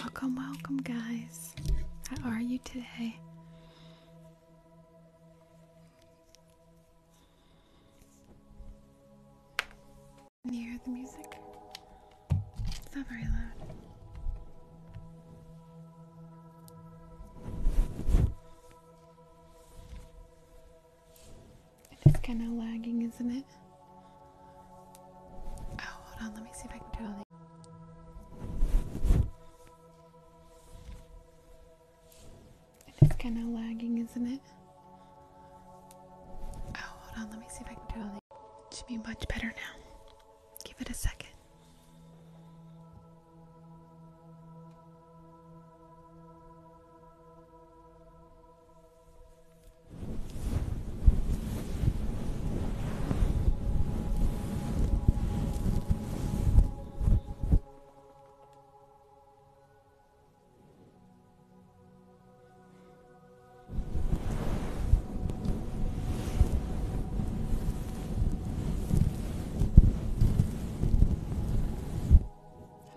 Welcome, welcome, guys. How are you today? Can you hear the music? It's not very loud. It is kind of lagging, isn't it? Oh, hold on. Let me see if I can turn on It is kind of lagging, isn't it? Oh, hold on. Let me see if I can turn on It should be much better now. Give it a second.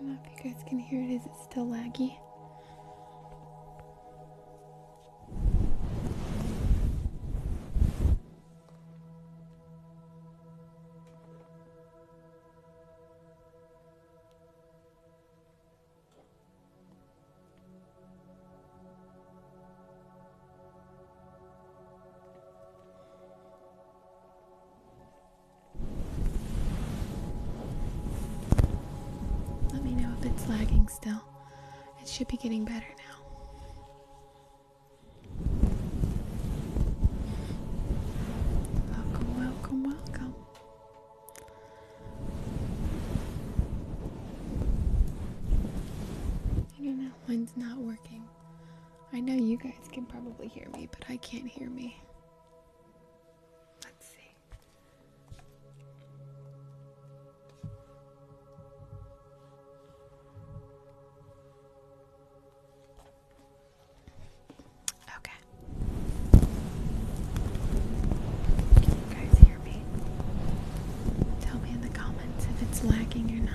I don't know if you guys can hear it. Is it still laggy? Let me know if it's lagging still. It should be getting better now. Welcome, welcome, welcome. I know, mine's not working. I know you guys can probably hear me, but I can't hear me. Let's see. Okay. Can you guys hear me? Tell me in the comments if it's lagging or not.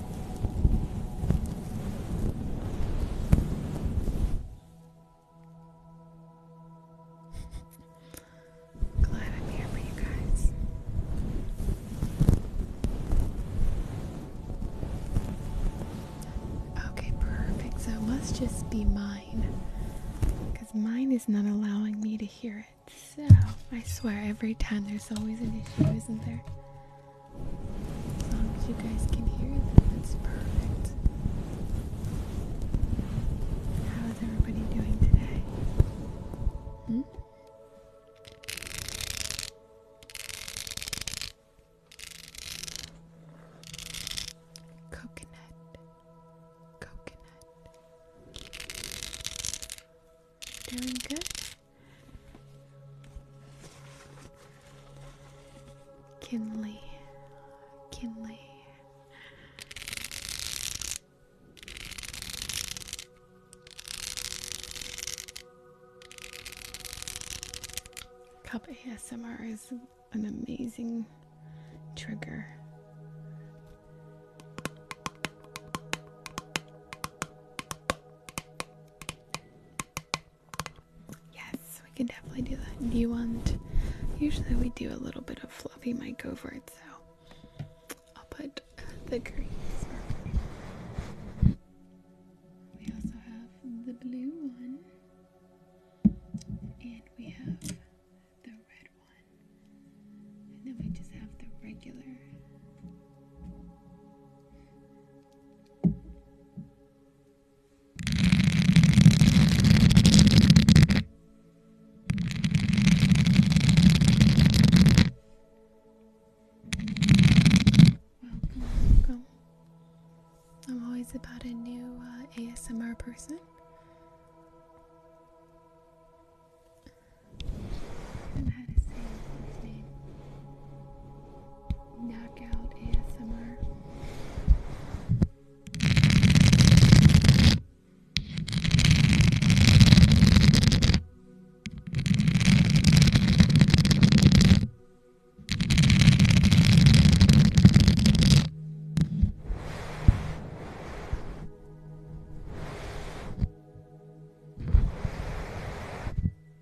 Glad I'm here for you guys. Okay, perfect. So it must just be mine. Because mine is not allowing me to hear it. So I swear every time there's always an issue, isn't there? As long as you guys can hear them, it's perfect. How is everybody doing today? Hmm? Coconut, coconut. Doing good. Kinley, Kinley. Cup ASMR is an amazing trigger. Yes, we can definitely do that. Do you want? Usually we do a little bit of fluffy mic over it, so I'll put the green. We also have the blue one, and we have the red one, and then we just have the regular. I'm always about a new uh, ASMR person. Knockout ASMR. Hello,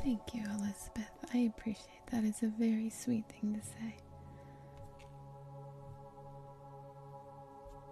Thank you, Elizabeth. I appreciate that. is a very sweet thing to say.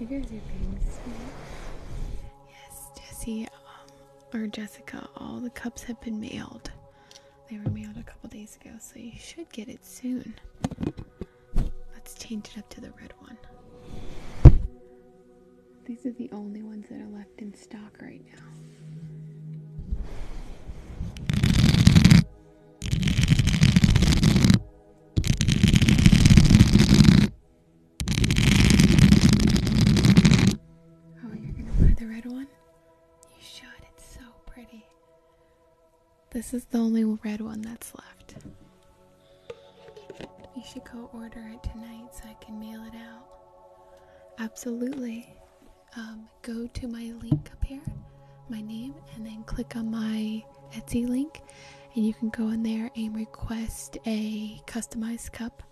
You guys are being sweet. Yes, Jesse um, or Jessica, all the cups have been mailed. They were mailed a couple days ago, so you should get it soon. Let's change it up to the red one. These are the only ones that are left in stock right now. Oh, you're gonna buy the red one? You should, it's so pretty. This is the only red one that's left. You should go order it tonight so I can mail it out. Absolutely. Um, go to my link up here, my name, and then click on my Etsy link, and you can go in there and request a customized cup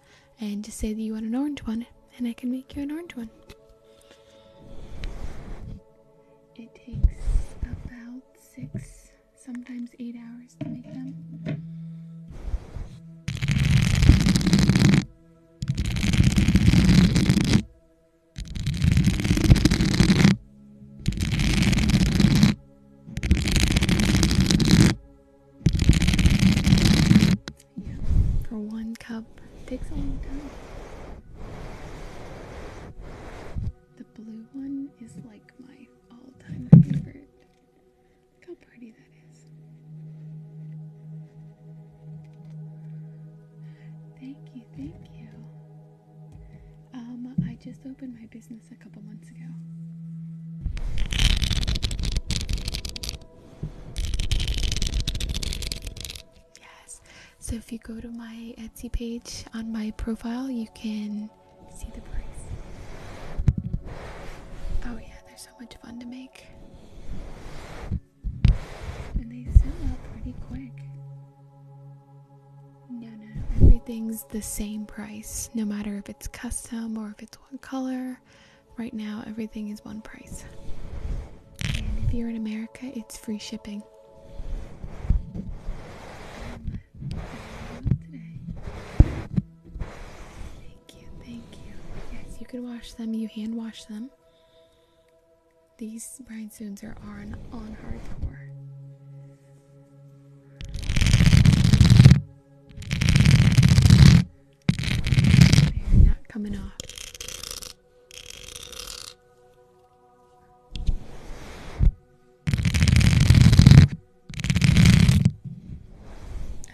and just say that you want an orange one, and I can make you an orange one. It takes about six, sometimes eight hours to make them for one cup takes a long time. The blue one is like my all-time favorite. how pretty that is. Thank you, thank you. Um, I just opened my business a couple months ago. Yes, so if you go to my Etsy page on my profile, you can see the price. Oh, yeah, they're so much fun to make. And they sell pretty quick. No, no, Everything's the same price, no matter if it's custom or if it's one color. Right now, everything is one price. And if you're in America, it's free shipping. Thank you, thank you. Yes, you can wash them, you hand wash them. These rhinestones are on on hardcore not coming off.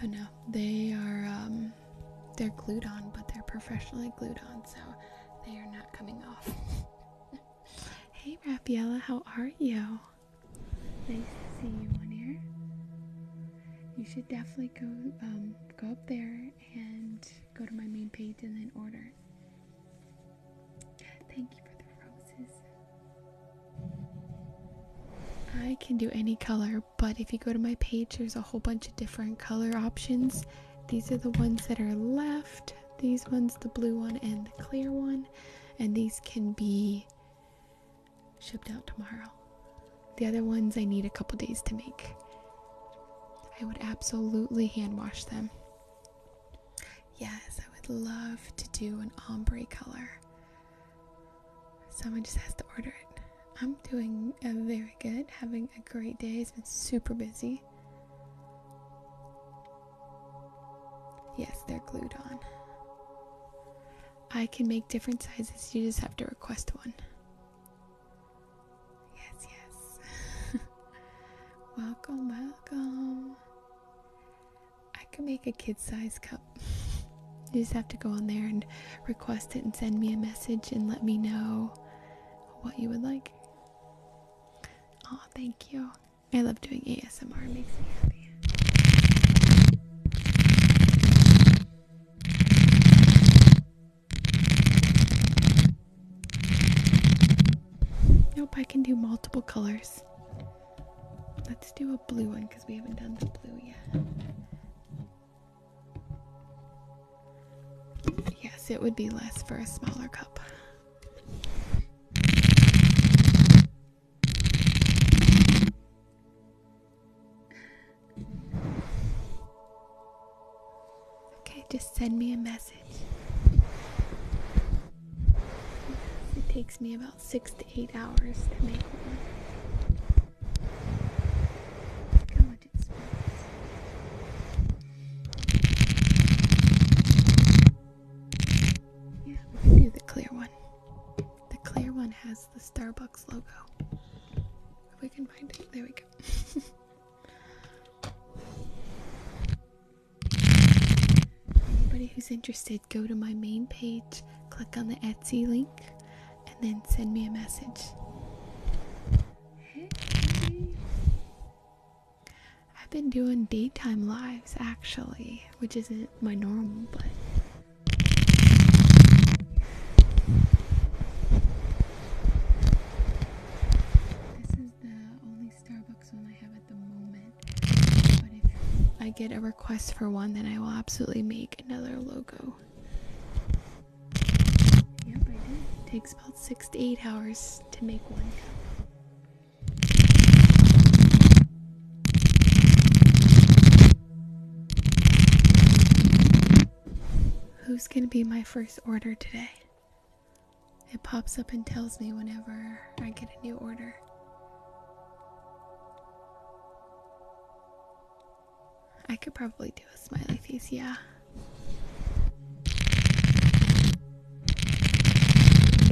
Oh no, they are um, they're glued on, but they're professionally glued on, so they are not coming off. hey Raphaela, how are you? Nice to see you on here. You should definitely go um, go up there and go to my main page and then order. Thank you for the roses. I can do any color, but if you go to my page, there's a whole bunch of different color options. These are the ones that are left, these ones, the blue one and the clear one and these can be shipped out tomorrow. The other ones I need a couple days to make. I would absolutely hand wash them. Yes, I would love to do an ombre color. Someone just has to order it. I'm doing very good, having a great day. It's been super busy. Yes, they're glued on. I can make different sizes, you just have to request one. Yes, yes. welcome, welcome. I can make a kid size cup. you just have to go on there and request it and send me a message and let me know what you would like. Oh, thank you. I love doing ASMR, it makes me happy. Nope, I can do multiple colors. Let's do a blue one because we haven't done the blue yet. Yes, it would be less for a smaller cup. Okay, just send me a message. It takes me about six to eight hours to make one. Look how much it yeah, the clear one. The clear one has the Starbucks logo. If we can find it, there we go. Anybody who's interested, go to my main page, click on the Etsy link, and then send me a message. Hey. I've been doing daytime lives actually, which isn't my normal, but this is the only Starbucks one I have at the moment. But if I get a request for one, then I will absolutely make another logo. Yep, I did. It takes about six to eight hours to make one Who's gonna be my first order today? It pops up and tells me whenever I get a new order. I could probably do a smiley face, yeah.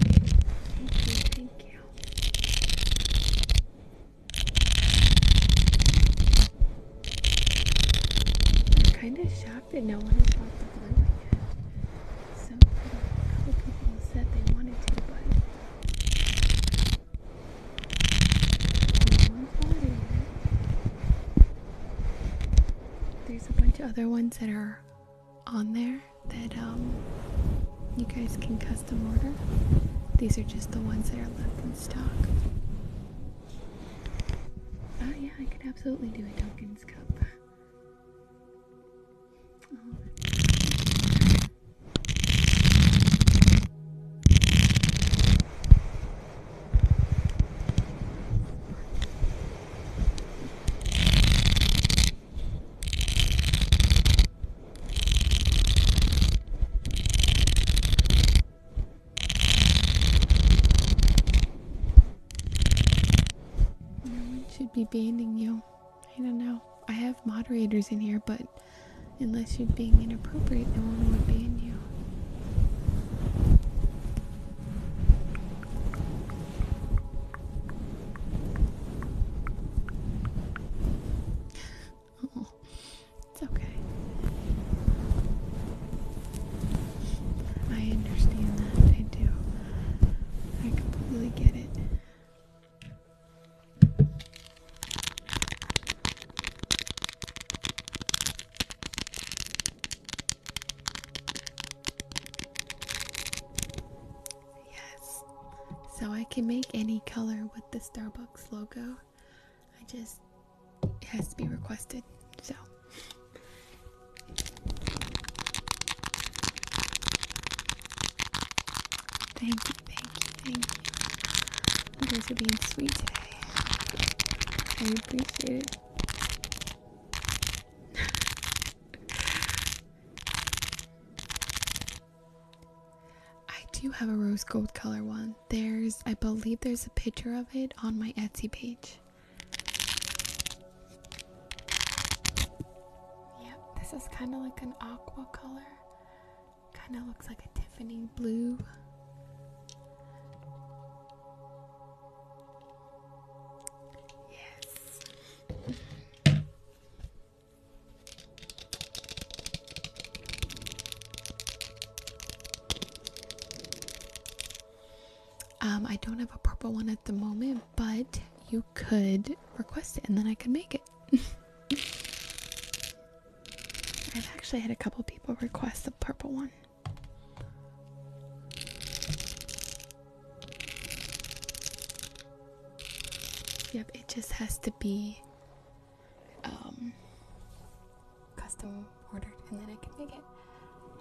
Thank you, thank you kind of shocked that no one has bought the blue one yet. So, people said they wanted to, but. There's a bunch of other ones that are on there that um, you guys can custom order. These are just the ones that are left in stock. Oh, yeah, I could absolutely do a Duncan's cup. No one should be banning you. I don't know. I have moderators in here, but unless you're being inappropriate, no one would ban you. Oh, it's okay. I understand that. I do. I completely get it. Yes. So I can make any color with the Starbucks logo. I just, it has to be requested. So. Thank you, thank you, thank you. You guys are being sweet today. I appreciate it. I do have a rose gold color one. There's, I believe, there's a picture of it on my Etsy page. Yep, this is kind of like an aqua color. Kind of looks like a Tiffany blue. Yes. Um, I don't have a purple one at the moment, but you could request it and then I could make it. I've actually had a couple people request the purple one. Yep, it just has to be um, custom ordered and then I can make it.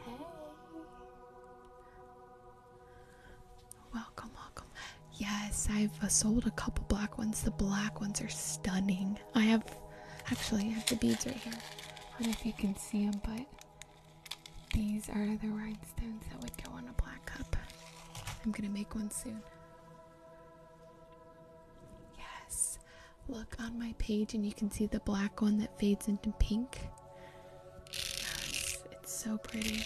Hey! Welcome, welcome. Yes, I've uh, sold a couple black ones. The black ones are stunning. I have, actually, I have the beads right here. I don't know if you can see them, but these are the right stones that would go on a black cup. I'm gonna make one soon. Yes, look on my page and you can see the black one that fades into pink. Yes, it's so pretty.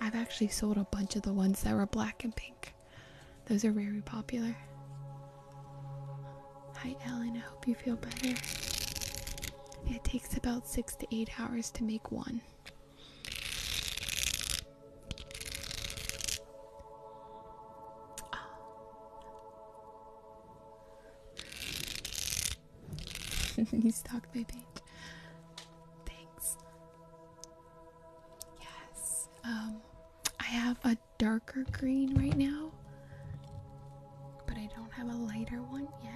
I've actually sold a bunch of the ones that were black and pink, those are very popular. Hi, Ellen, I hope you feel better. It takes about six to eight hours to make one. Oh. you stalked my page. Thanks. Yes. Um, I have a darker green right now, but I don't have a lighter one yet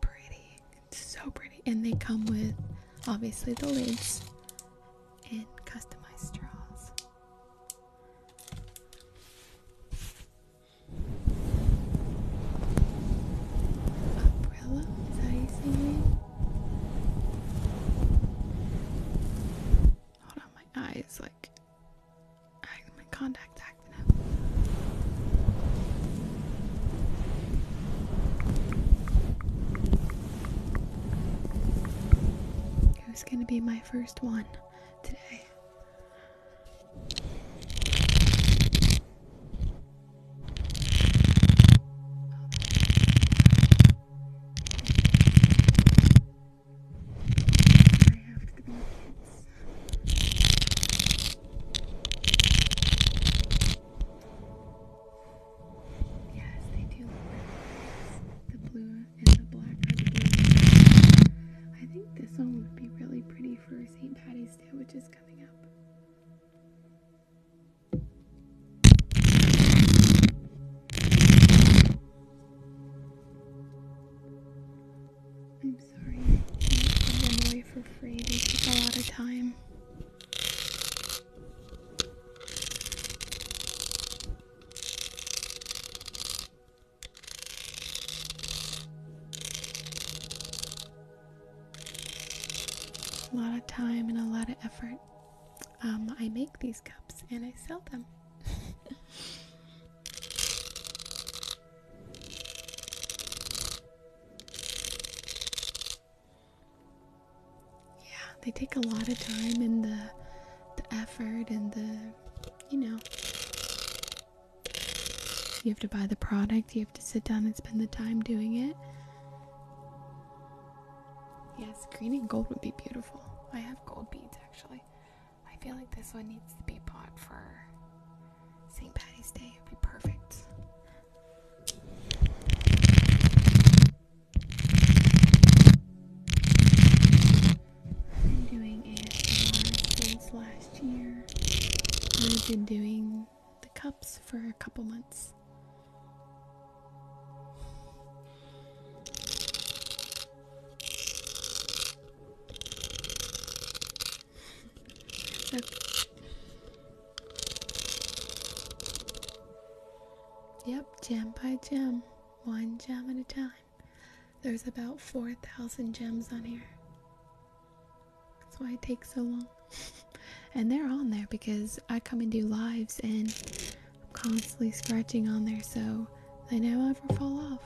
pretty. It's so pretty. And they come with obviously the lids and customized straws. Umbrella? Is that you say Hold on, my eyes like my contact's acting up. gonna be my first one today? I have to be kids. Yes, they do The blue and the black I think this one would be really pretty for St. Patty's Day, which is coming up. I'm sorry, I can't give them away for free. They take a lot of time. A lot of time and a lot of effort. Um, I make these cups and I sell them. Yeah, they take a lot of time and the the effort and the you know you have to buy the product, you have to sit down and spend the time doing it. Yes, green and gold would be beautiful. I have gold beads actually. I feel like this one needs to be bought for St. Patty's Day would be perfect. been doing ASMR since last year. We've been doing the cups for a couple months. Yep, gem by gem, one gem at a time. There's about 4,000 gems on here. That's why it takes so long. and they're on there because I come and do lives and I'm constantly scratching on there, so they never ever fall off.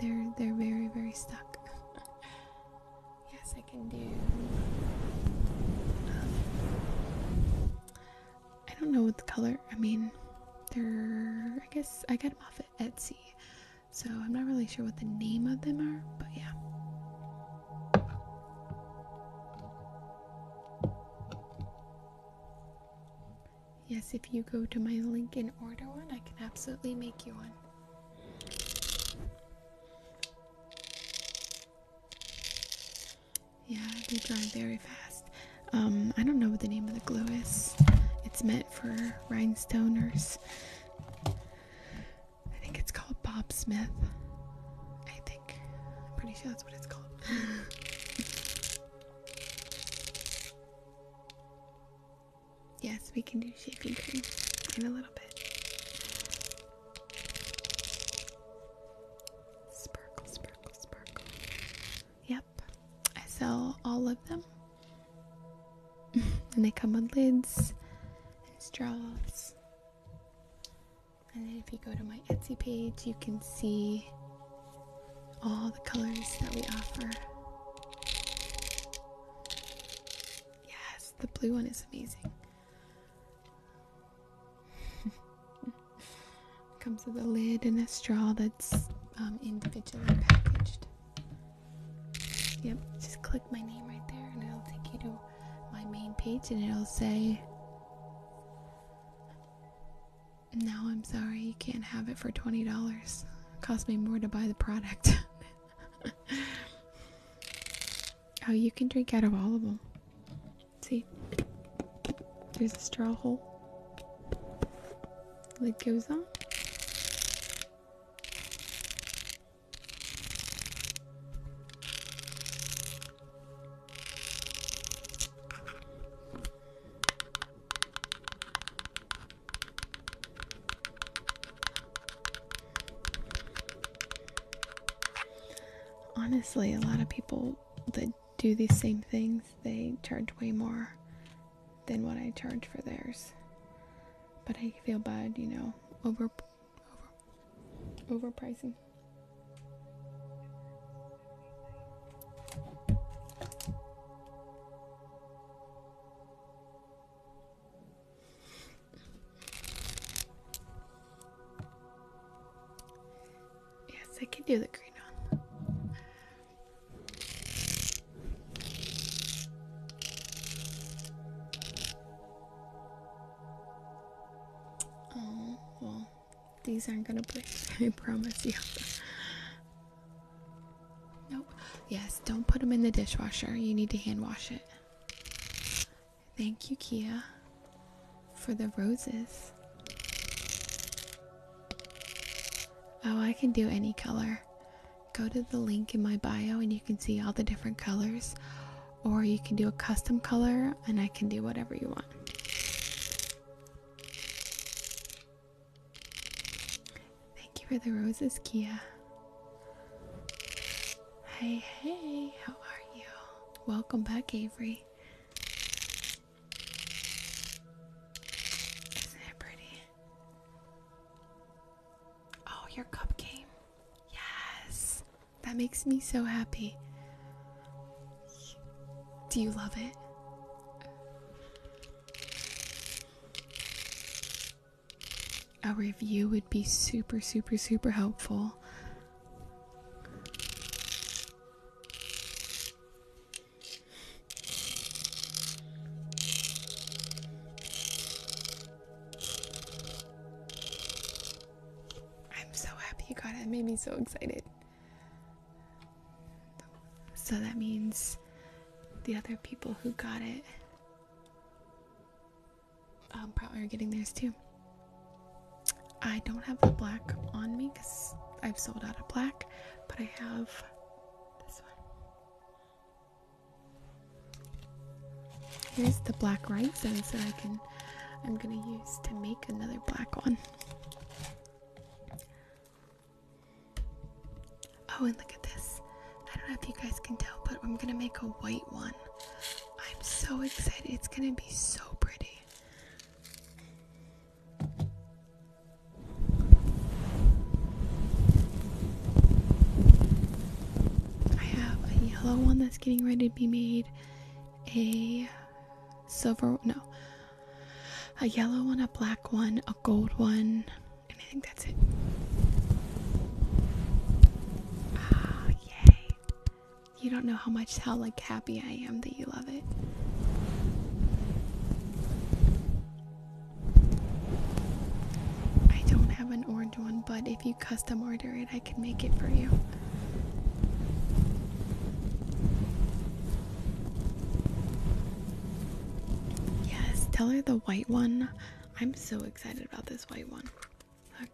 They're they're very very stuck. Yes, I can do. Um, I don't know what the color. I mean, they're. I guess I got them off at Etsy, so I'm not really sure what the name of them are. But yeah. Yes, if you go to my link and order one, I can absolutely make you one. Yeah, they dry very fast. Um, I don't know what the name of the glue is. It's meant for rhinestoners. I think it's called Bob Smith. I think. I'm pretty sure that's what it's called. Yes, we can do shaping cream in a little bit. Sparkle, sparkle, sparkle. Yep, I sell all of them. and they come with lids and straws. And then if you go to my Etsy page, you can see all the colors that we offer. Yes, the blue one is amazing. Comes with a lid and a straw that's um, individually packaged. Yep, just click my name right there and it'll take you to my main page and it'll say, Now I'm sorry, you can't have it for $20. It cost me more to buy the product. oh, you can drink out of all of them. See? There's a straw hole. Lid goes on. Honestly, a lot of people that do these same things, they charge way more than what I charge for theirs. But I feel bad, you know, over over pricing. Yes, I can do the green one. Oh, well, these aren't gonna break, I promise you. Nope. Yes, don't put them in the dishwasher. You need to hand wash it. Thank you, Kia, for the roses. Oh, I can do any color. Go to the link in my bio and you can see all the different colors, or you can do a custom color, and I can do whatever you want. Thank you for the roses, Kia. Hey, hey, how are you? Welcome back, Avery. Isn't it pretty? Oh, your cup came. Yes. That makes me so happy. Do you love it? a review would be super, super, super helpful. I'm so happy you got it. made me so excited. So that means the other people who got it um, probably are getting theirs too. I don't have the black on me because I've sold out of black, but I have this one. Here's the black right rhinestones that I can I'm gonna use to make another black one. Oh, and look at this. I don't know if you guys can tell, but I'm gonna make a white one. I'm so excited. It's gonna be so pretty. I have a yellow one that's getting ready to be made, a silver, no, a yellow one, a black one, a gold one, and I think that's it. Ah, yay. You don't know how much how like happy I am that you love it. I don't have an orange one, but if you custom order it, I can make it for you. Yes, tell her the white one I'm so excited about this white one. Look,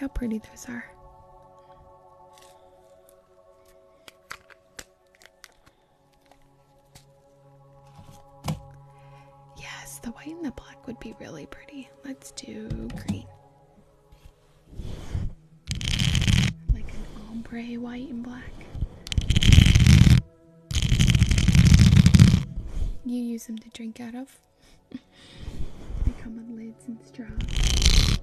how pretty those are. Yes, the white and the black would be really pretty. Let's do green. Like an ombre white and black. You use them to drink out of. they come with lids and straws.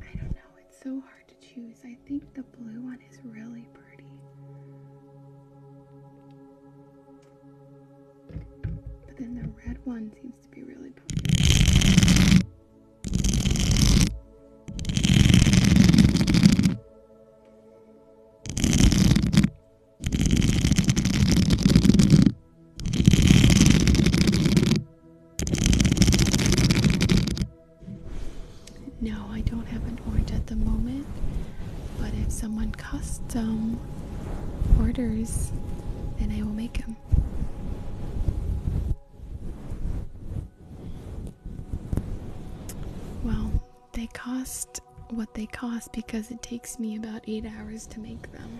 I don't know, it's so hard to choose. I think the blue one is really pretty. But then the red one seems to be really pretty. No, I don't have an orange at the moment, but if someone custom orders, then I will make them. Well, they cost what they cost because it takes me about eight hours to make them.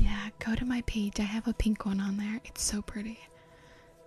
Yeah, go to my page. I have a pink one on there. It's so pretty.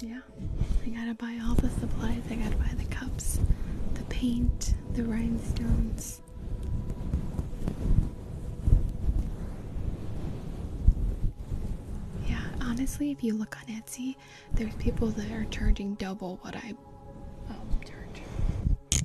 Yeah, I gotta buy all the supplies. I gotta buy the cups, the paint, the rhinestones. Yeah, honestly, if you look on Etsy, there's people that are charging double what I. Oh, charge.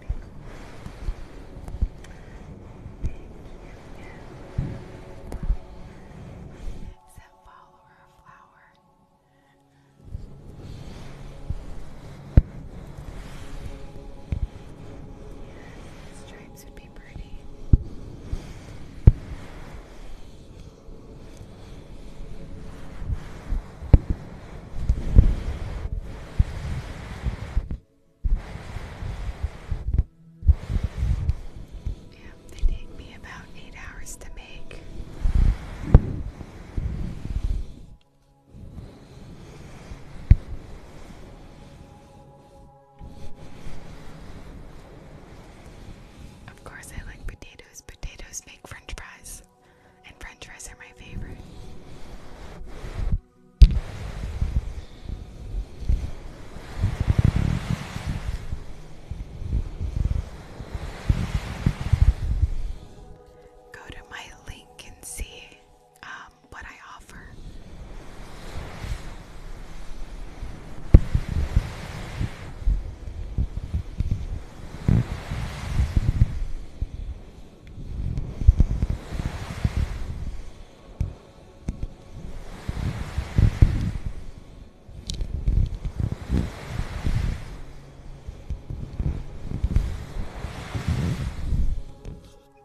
Send follower a flower. Yes, stripes would be pretty. Yes, yeah, they me about eight hours to make. Of course, I like potatoes. Potatoes make french fries and French fries are my favorite. Go to my link and see um, what I offer.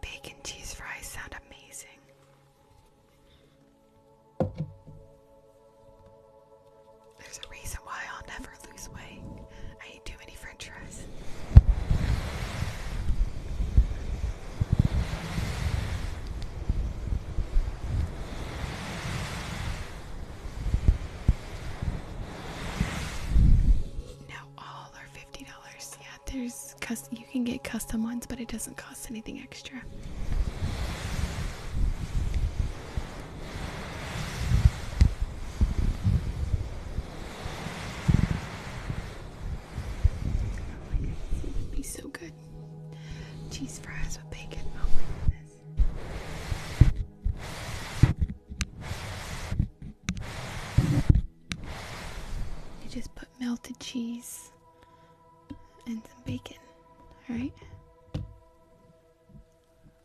Bacon cheese fries sound amazing. There's a reason why I'll never I ate too many french fries. Now all are fifty dollars. Yeah, there's You can get custom ones, but it doesn't cost anything extra be so good. Cheese fries with bacon. Oh you just put melted cheese and some bacon, alright?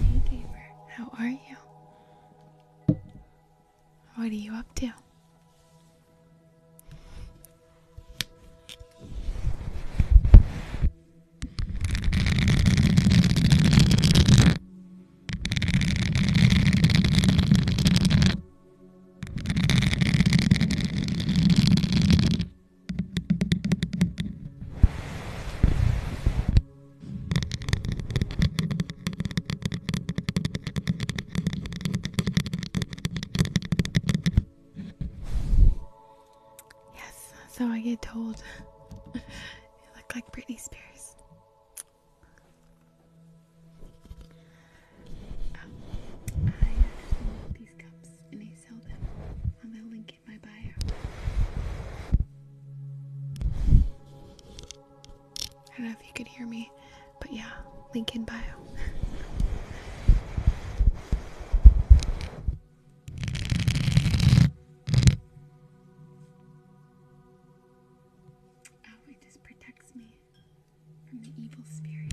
Hey neighbor, how are you? What are you up to? Yes, so I get told you look like Britney Spears. Um, I these cups and I sell them on the link in my bio. I don't know if you could hear me, but yeah, link in bio. Oh, just protects me from the evil spirit.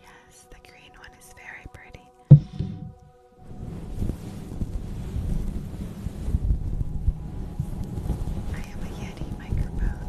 Yes, the green one is very pretty. I have a Yeti microphone.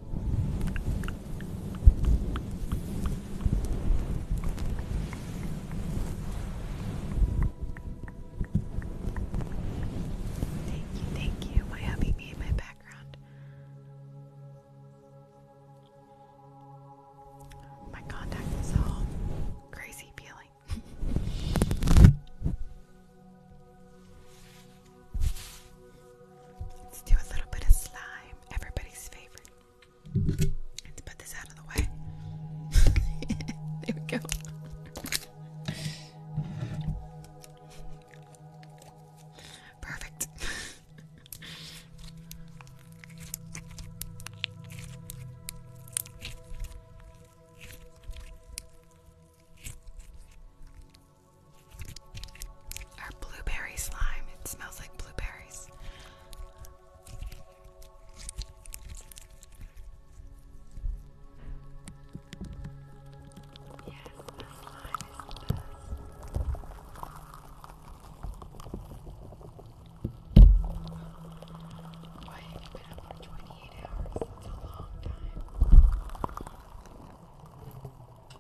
Thank you, thank you. My hubby me in my background. My contact is all crazy feeling. Let's do a little bit of slime, everybody's favorite. Let's put this out of the way. there we go. Perfect or blueberry slime. It smells like blueberries. Yes, the slime is the best. have been up for 28 hours? It's a long time. Makes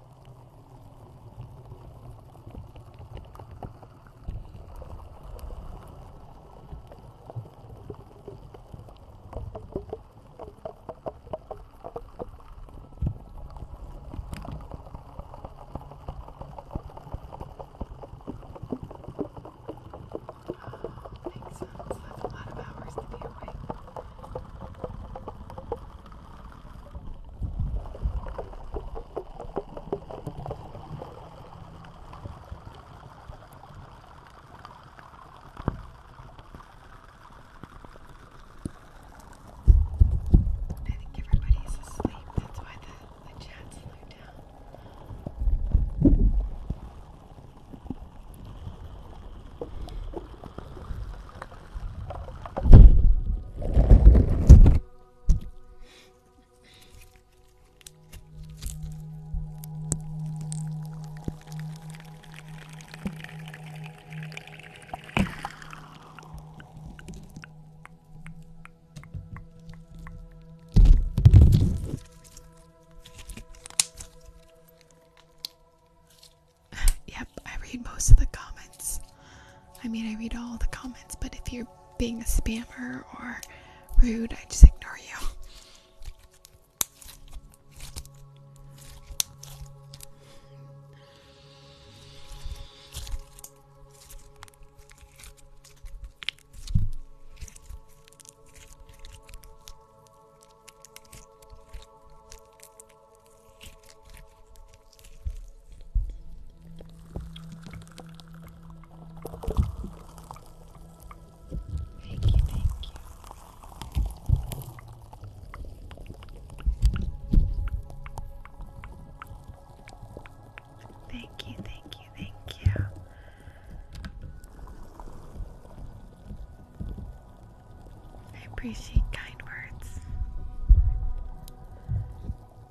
sense. That's a lot of hours to be awake. I think everybody's asleep. That's why the, the chat slowed down. yep, I read most of the comments. I mean, I read all the comments, but if you're being a spammer or rude, I just ignore you. Thank you, thank you. Thank you, thank you, thank you. I appreciate kind words.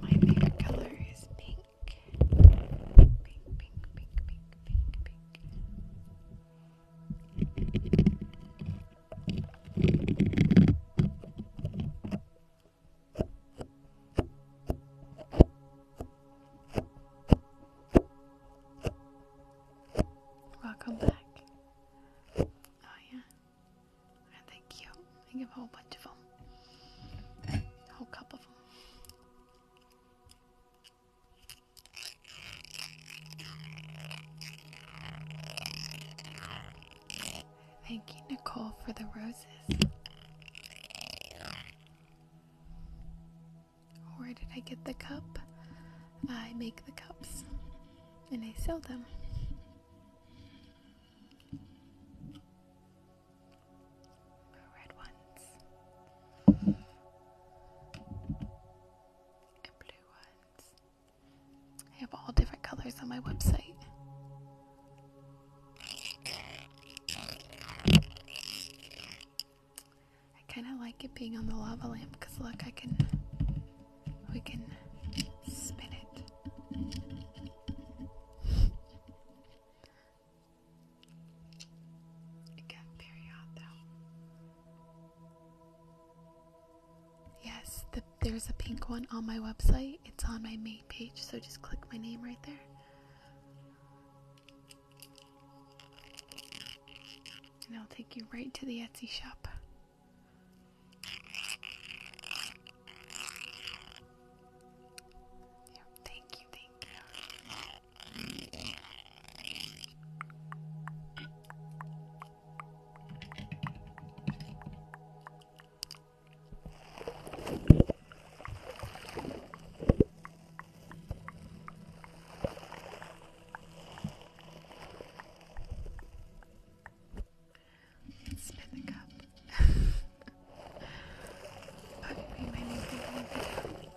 My favorite color is pink pink, pink, pink, pink, pink. Welcome back. Oh yeah. Aren't they cute? I give a whole bunch of them. A whole cup of them. Thank you, Nicole, for the roses. Where did I get the cup? I make the cups and I sell them red ones, and blue ones. I have all different colors on my website. I kind of like it being on the lava lamp because look, I can, we can spin it. Yes, there's a pink one on my website. It's on my main page, so just click my name right there. And I'll take you right to the Etsy shop. thank you, thank you. Spit the cup. Bobby P made me think of a video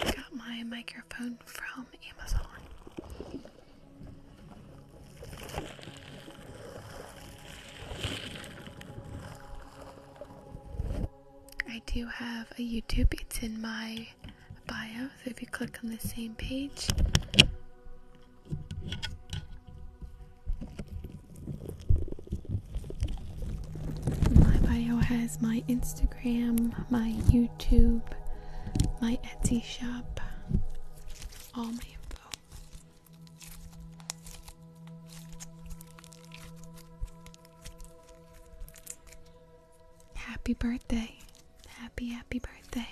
I got my microphone from Amazon. I do have a YouTube, it's in my bio, so if you click on the same page, my bio has my Instagram, my YouTube, my Etsy shop, all my info. Happy birthday. Happy, happy birthday.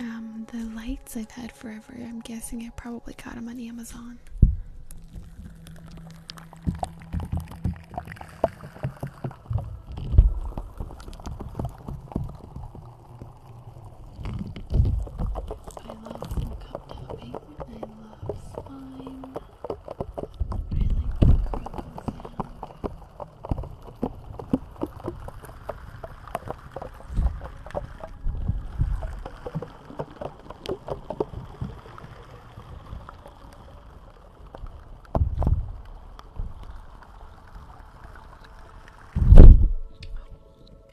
Um, the lights I've had forever. I'm guessing I probably got them on Amazon. I like the crinkle sound. Oh,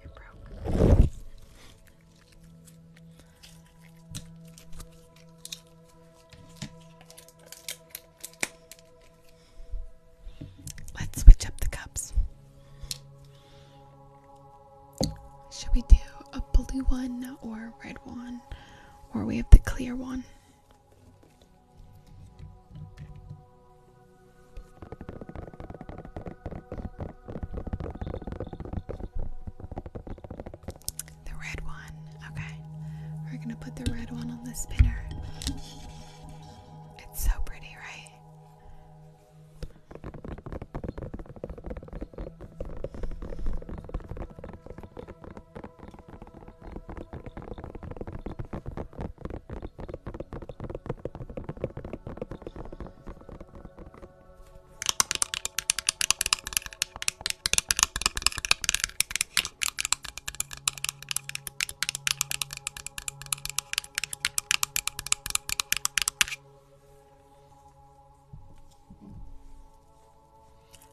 it broke. Let's switch up the cups. Should we do a blue one or a red one? Or we have the clear one? The red one. Okay. We're going to put the red one on the spinner. It's so pretty, right?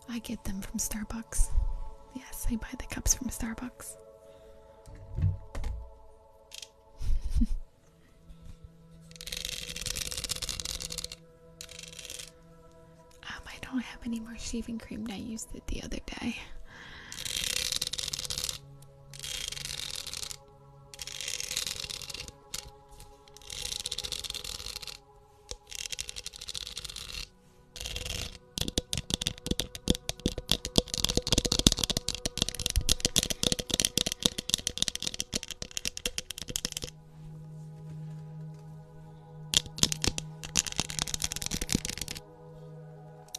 I get them from Starbucks. Yes, I buy the cups from Starbucks. Um, I don't have any more shaving cream I used it the other day.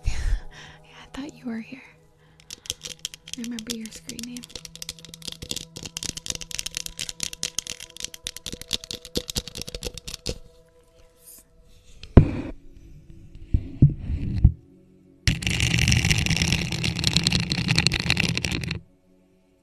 I thought you were here. remember your screen name.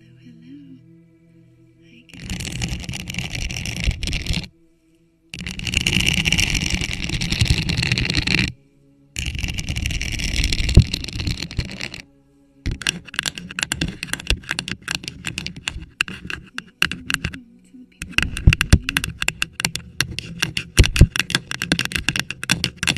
hello, hello. Hi, guys.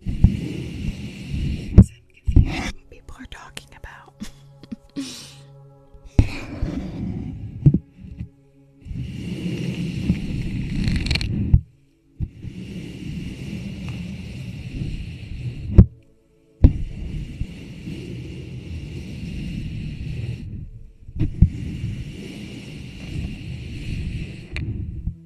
Because I'm confused what people are talking about.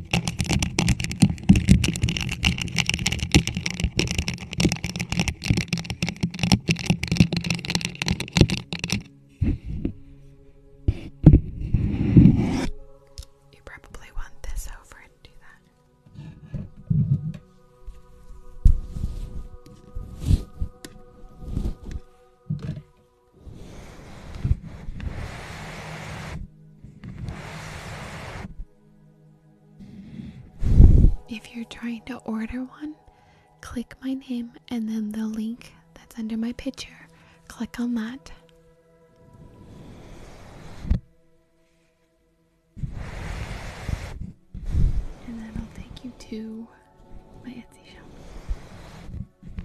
You probably want this over and do that. If you're trying to order one, click my name and then the link that's under my picture. Click on that. And that'll take you to my Etsy shop.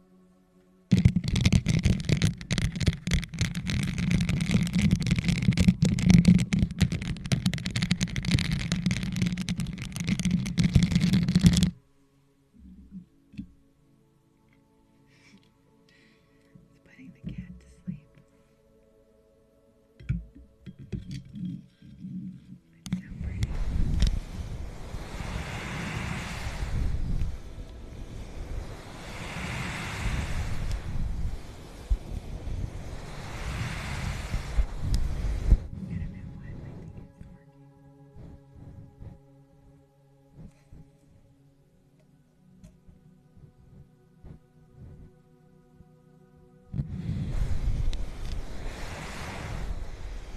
It's putting the cat to sleep. It's so pretty. I don't know why my thing isn't working. I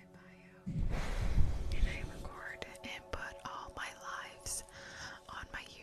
my bio, and I record and put all my lives on my YouTube.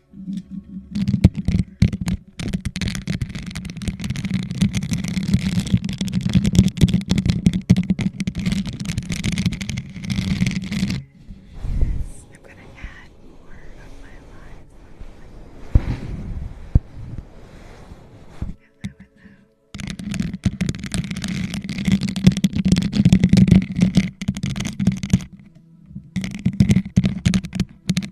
Yes, I'm gonna add more of my lines. Have that with them.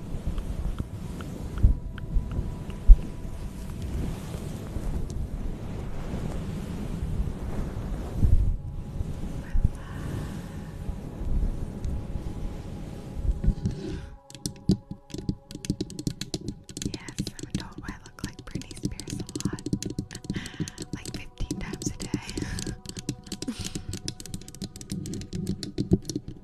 Yes, I'm told I look like Britney Spears a lot. like 15 times a day.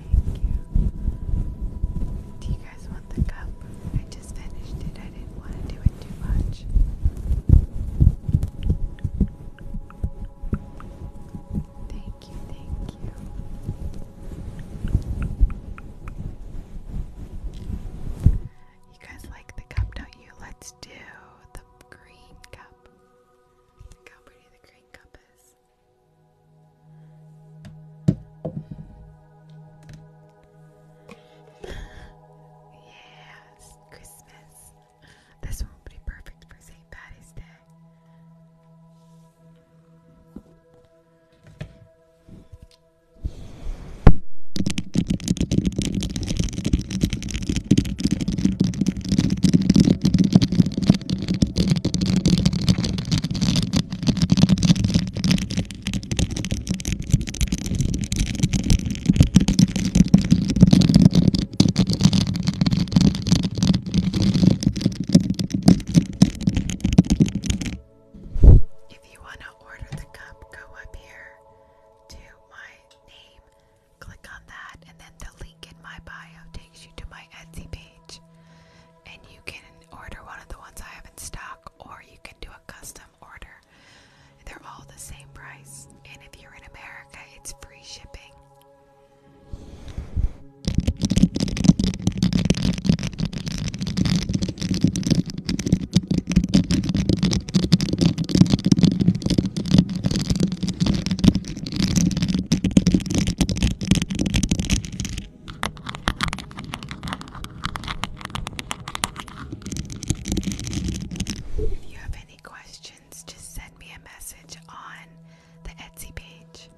Thank you. Do you guys want the cup? I just finished it. I didn't want to do it too much. Thank you, thank you. You guys like the cup, don't you? Let's do the green cup. how pretty the green cup is. Yes, Christmas. This one will be perfect for St. Patty's Day. If you want to order the cup, go up here to my name, click on that, and then the link in my bio takes you to my Etsy page and you can order one of the ones I have in stock, or you can do a custom order. They're all the same price, and if you're in America, it's free shipping. If you have any questions, just send me a message on the Etsy page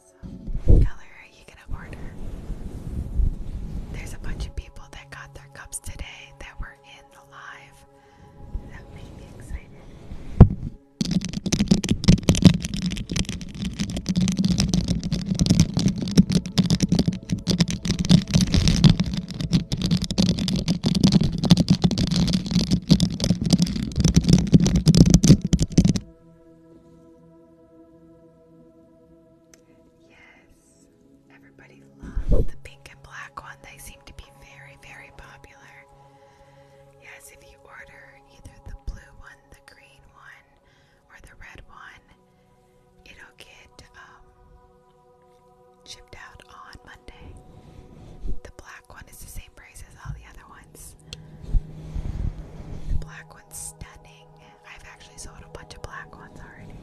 awesome are you gonna order? There's a bunch of people that got their cups today that were in the live. That made me excited. Yes, everybody loves the pink and black one. They seem to be very, very popular. Yes, if you order either the blue one, the green one, or the red one, it'll get um, shipped out on Monday. The black one is the same price as all the other ones. The black one's stunning. I've actually sold a bunch of black ones already.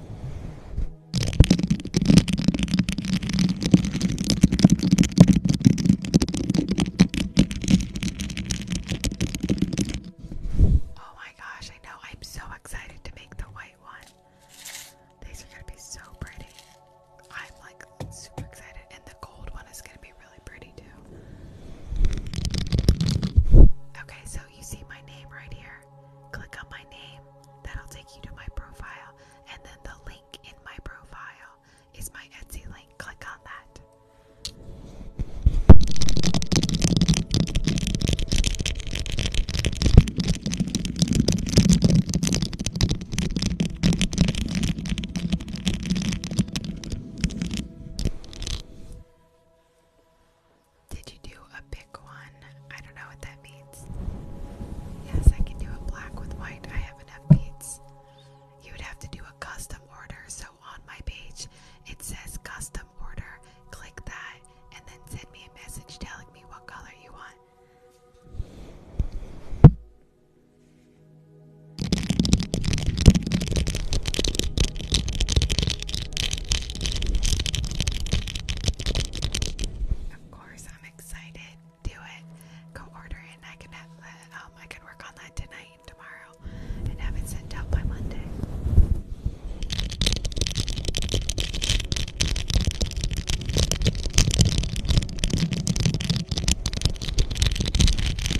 Oh my gosh, I know. I'm so excited to make the white one. These are going to be so pretty. I'm like super excited. And the gold one is going to Okay, so you see my name right here. Click on my name. That'll take you to my profile. And then the link in my profile is my Etsy link. Click on that. Did you do a big one? I don't know what that means. Yes, I can do a black with white. I have enough beads. You would have to do a custom order. So on my page, it says custom order. Click that and then send me a message telling me what color you want. Of course, I'm excited. Do it. Go order it, I can have uh, Um, I can work on that tonight and tomorrow, and have it sent out by Monday.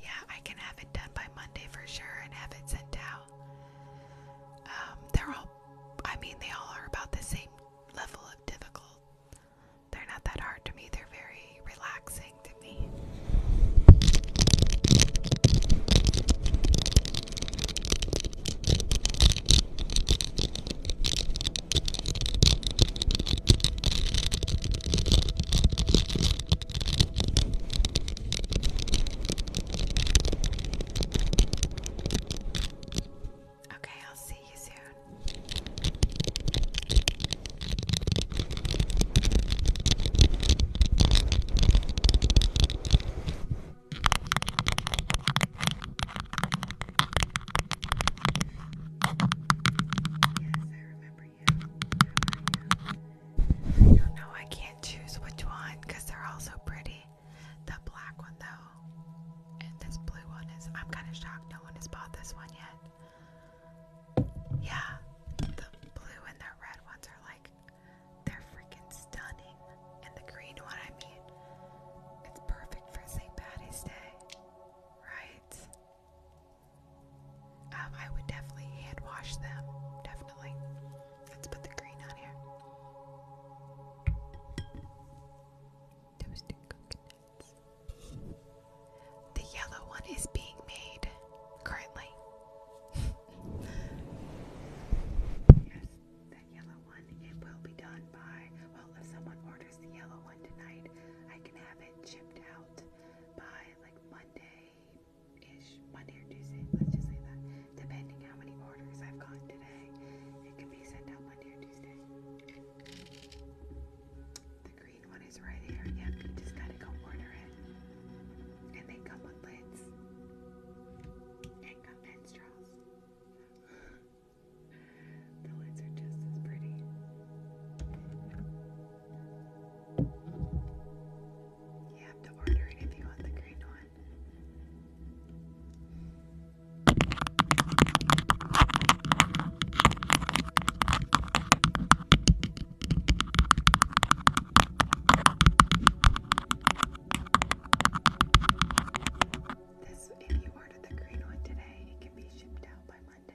Yeah, I can have it done by Monday for sure and have it sent out. Um, they're all, I mean, they all are about the same level of difficult. They're not that hard to me, they're very relaxing to me. Okay, I'll see you soon. Yes, I remember you? I know. I can't choose which one because they're all so pretty. The black one, though, and this blue one is. I'm kind of shocked no one has bought this one yet. Yeah, the blue and the red ones are like. They're freaking stunning. And the green one, I mean, it's perfect for St. Patty's Day, right? Um, I would definitely hand wash them. Definitely. Let's put the green on here. Toasted coconuts. The yellow one is being made currently. yes, that yellow one. It will be done by, well, if someone orders the yellow one tonight, I can have it chipped out by like Monday-ish, Monday or Tuesday, let's just say that, depending how many orders I've gotten today, it can be sent out Monday or Tuesday. The green one is right here, yep, you just gotta go order it, and they come with lids, and come and straws. the lids are just as pretty. You have to order if you want the green one. This, if you order the green one today, it can be shipped out by Monday. I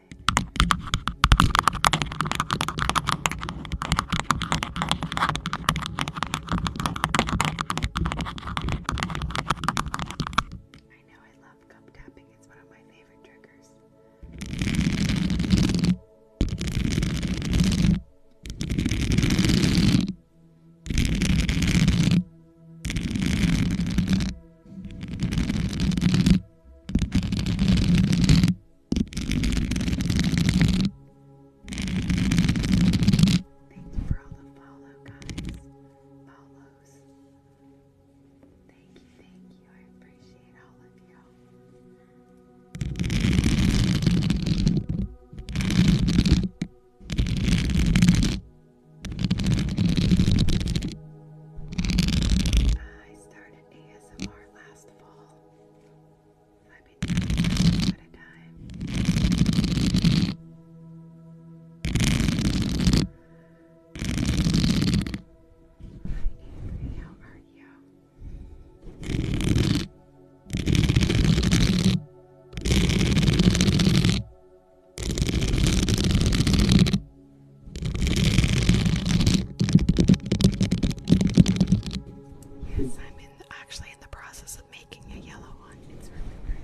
know I love cup tapping, it's one of my favorite triggers. Thank you for all the follow, guys. Follows. Thank you, thank you. I appreciate all of you. I started ASMR last fall. I've been doing it a bit of time. Hi Avery, how you? Yes, I'm in the, actually in the process of making a yellow one. It's really pretty.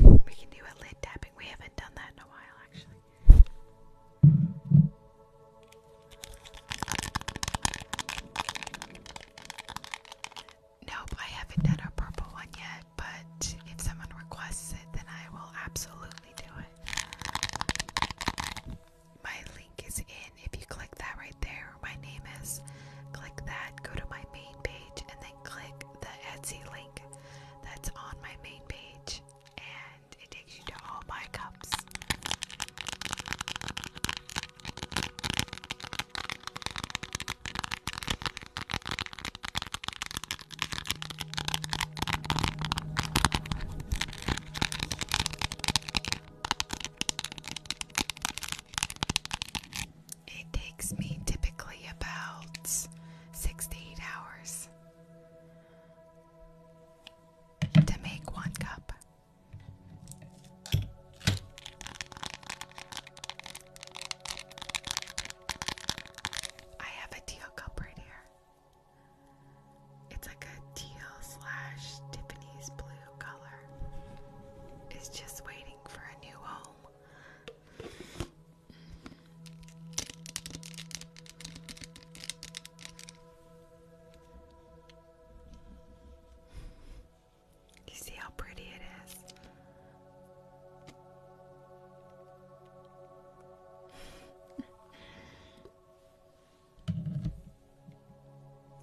We can do a lid tapping. We haven't done that in a while, actually. Nope, I haven't done a purple one yet, but if someone requests it, then I will absolutely do it my link is in. If you click that right there, my name is, click that, go to my main page, and then click the Etsy link that's on my main page, and it takes you to all my cups. It takes me typically about six to eight hours to make one cup. I have a teal cup right here. It's like a teal slash Tiffany's blue color is just waiting for a new home. You see how pretty it is?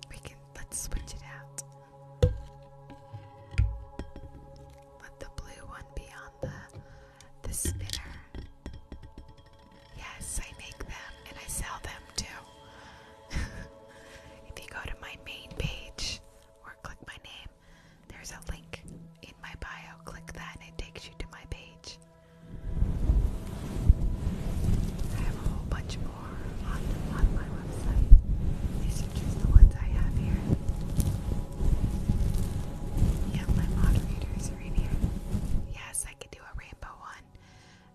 We can let's switch it out. Let the blue one be on the the spinner. Yes, I make them and I sell them too. if you go to my main page or click my name, there's a link in my bio. Click that and it takes you to my page. I have a whole bunch or on, my website. These the ones I have here. Yeah, my moderators are here. Yes, I could do a rainbow one.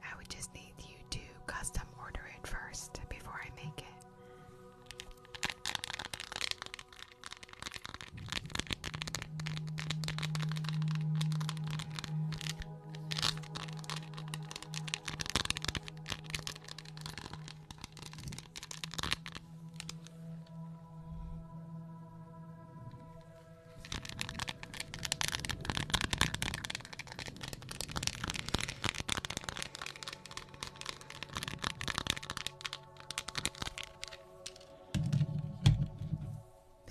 I would just need you to custom order it first before I make it.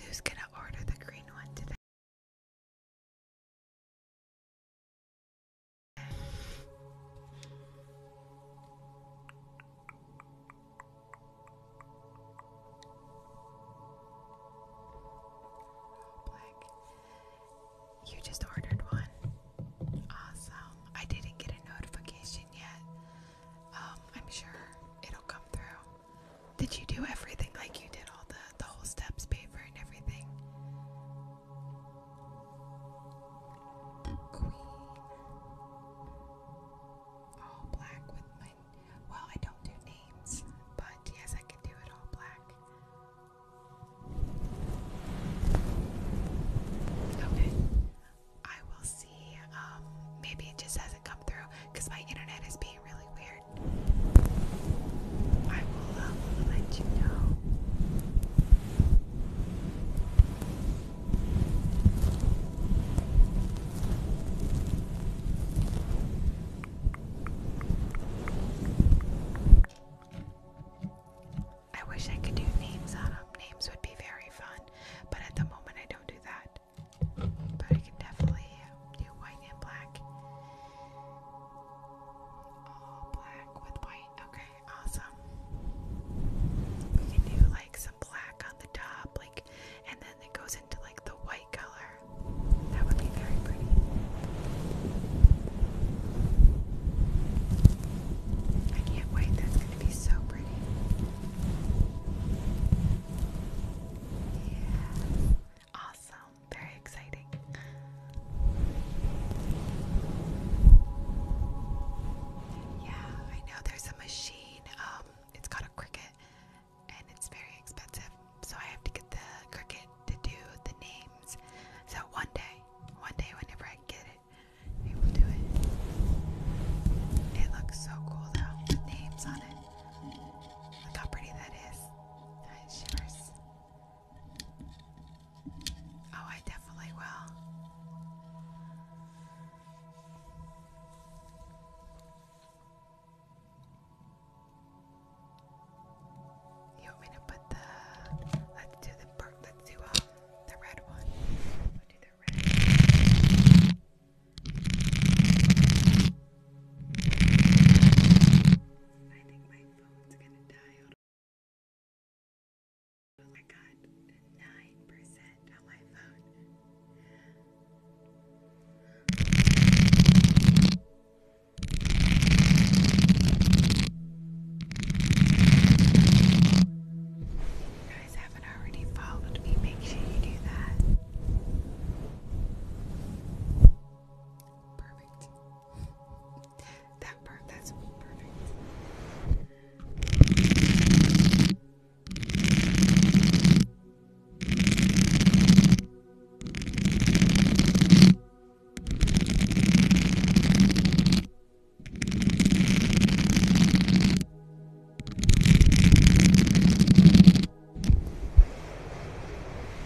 Who's gonna order the green one today? Black. You just ordered one. Awesome. I didn't get a notification yet. Um, I'm sure it'll come through. Did you do everything like you did all the the whole steps, paper, and everything? queen, all black with my. Well, I don't do names, but yes, I can do it all black. Okay, I will see. Um, maybe it just hasn't come through because my internet is being really weird. Uh, I wish I could do names on them. Names would be very fun, but at the moment I don't do that. But I can definitely uh, do white and black. All black with white. Okay, awesome. We can do like some black on the top, like, and then it goes into like the white color. That would be very pretty. I can't wait. That's going to be so pretty. Yeah. Awesome. Very exciting. Yeah, I know there's a machine. Um, it's called a cricket and it's very expensive. So I have to get the cricket to do the names. So one day, one day whenever I get it, I will do it. It looks so cool though, names on it. Look how pretty that is. That shivers. Oh, I definitely will. You want me to put the let's do the per let's do um, the red one. We'll do the red phone's gonna die. you guys haven't already followed me, make sure you do that. Perfect that part, that's perfect.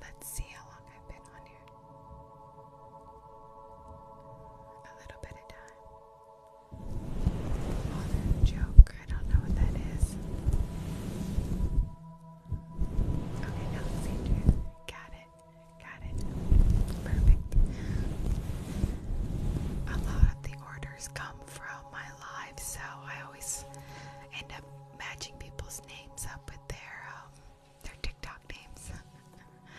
Let's see how long I've been on here. A little bit of time. Oh, joke. I don't know what that is. Okay, now let's see. Got it. Got it. Perfect. A lot of the orders come from my life, so I always end up matching people's names up with their um, their TikTok names.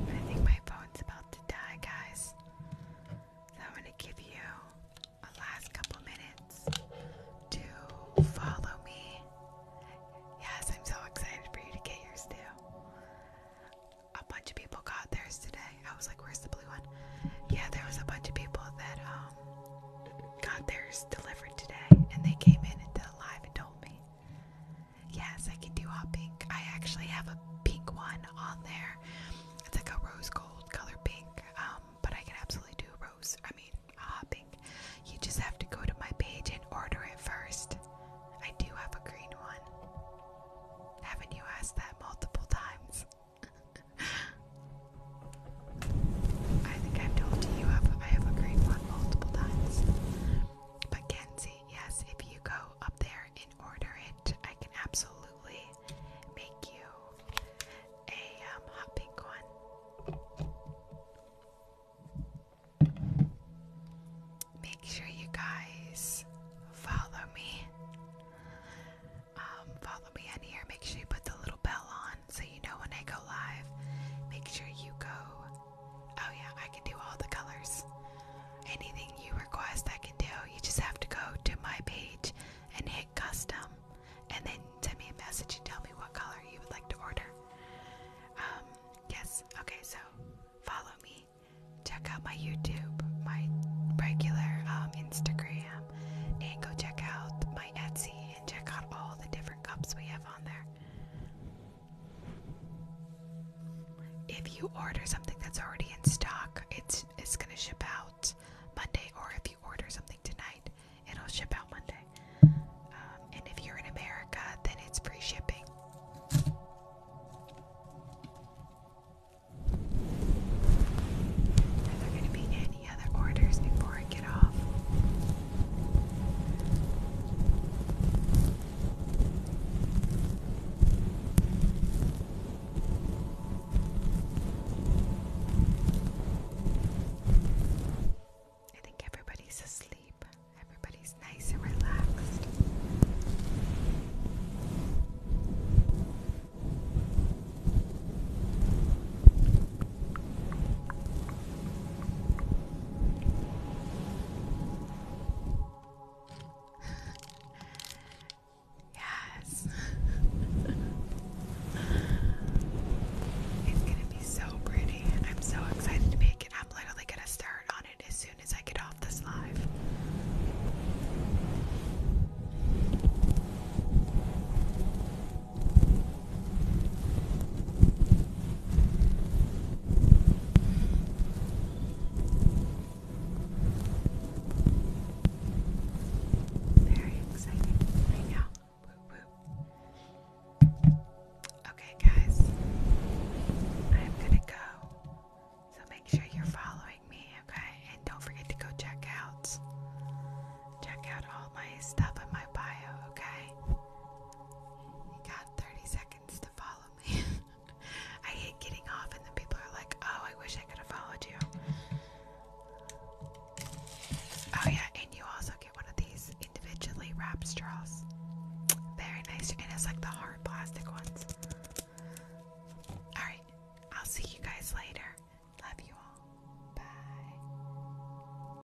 I think my phone's about to die, guys. I'm gonna give you a last couple minutes to follow me. Yes, I'm so excited for you to get yours too. A bunch of people got theirs today. I was like, "Where's the blue one?" Yeah, there was a bunch of people that um, um, theirs delivered today, and they came in into the live and told me, yes, I can do hot pink. I actually have a pink one on there. It's like a rose gold color pink, um, but I can absolutely do rose. I mean, hot pink. You just have to go to my page and order it first. I do have a green one. Haven't you asked that multiple times? I think I've told you, you I have agreed on multiple times. But Kenzie, yes, if you go up there and order it, I can absolutely make you a um, hot pink one. Make sure you guys follow me. Um, follow me in here. Make sure you put the little bell on so you know when I go live, make sure you go. Oh, yeah, I can do all the colors. Anything you request, I can do. You just have to go to my page and hit custom, and then send me a message and tell me what color you would like to order. Um, yes, okay, so follow me. Check out my YouTube, my regular um, Instagram, and go check out my Etsy and check out all the different cups we have on there. If you order something that's already in stock, it's it's gonna ship out Monday. Or if you order something tonight, it'll ship out Monday. Um, and if you're in America, then it's free shipping. I think everybody's asleep. Everybody's nice and relaxed yes. it's gonna be so pretty. I'm so excited to make it. I'm literally gonna start on it as soon as I get off this live. Very exciting right now. Okay, guys, I'm gonna go. So make sure you're following me, okay? And don't forget to go check out, check out all my stuff in my bio, okay? You got 30 seconds to follow me. I hate getting off, and then people are like, oh, I wish I could have followed you. Oh, yeah, and you also get one of these individually wrapped straws. Very nice. And it's like the hard plastic ones. Alright, I'll see you guys later. Love you all. Bye.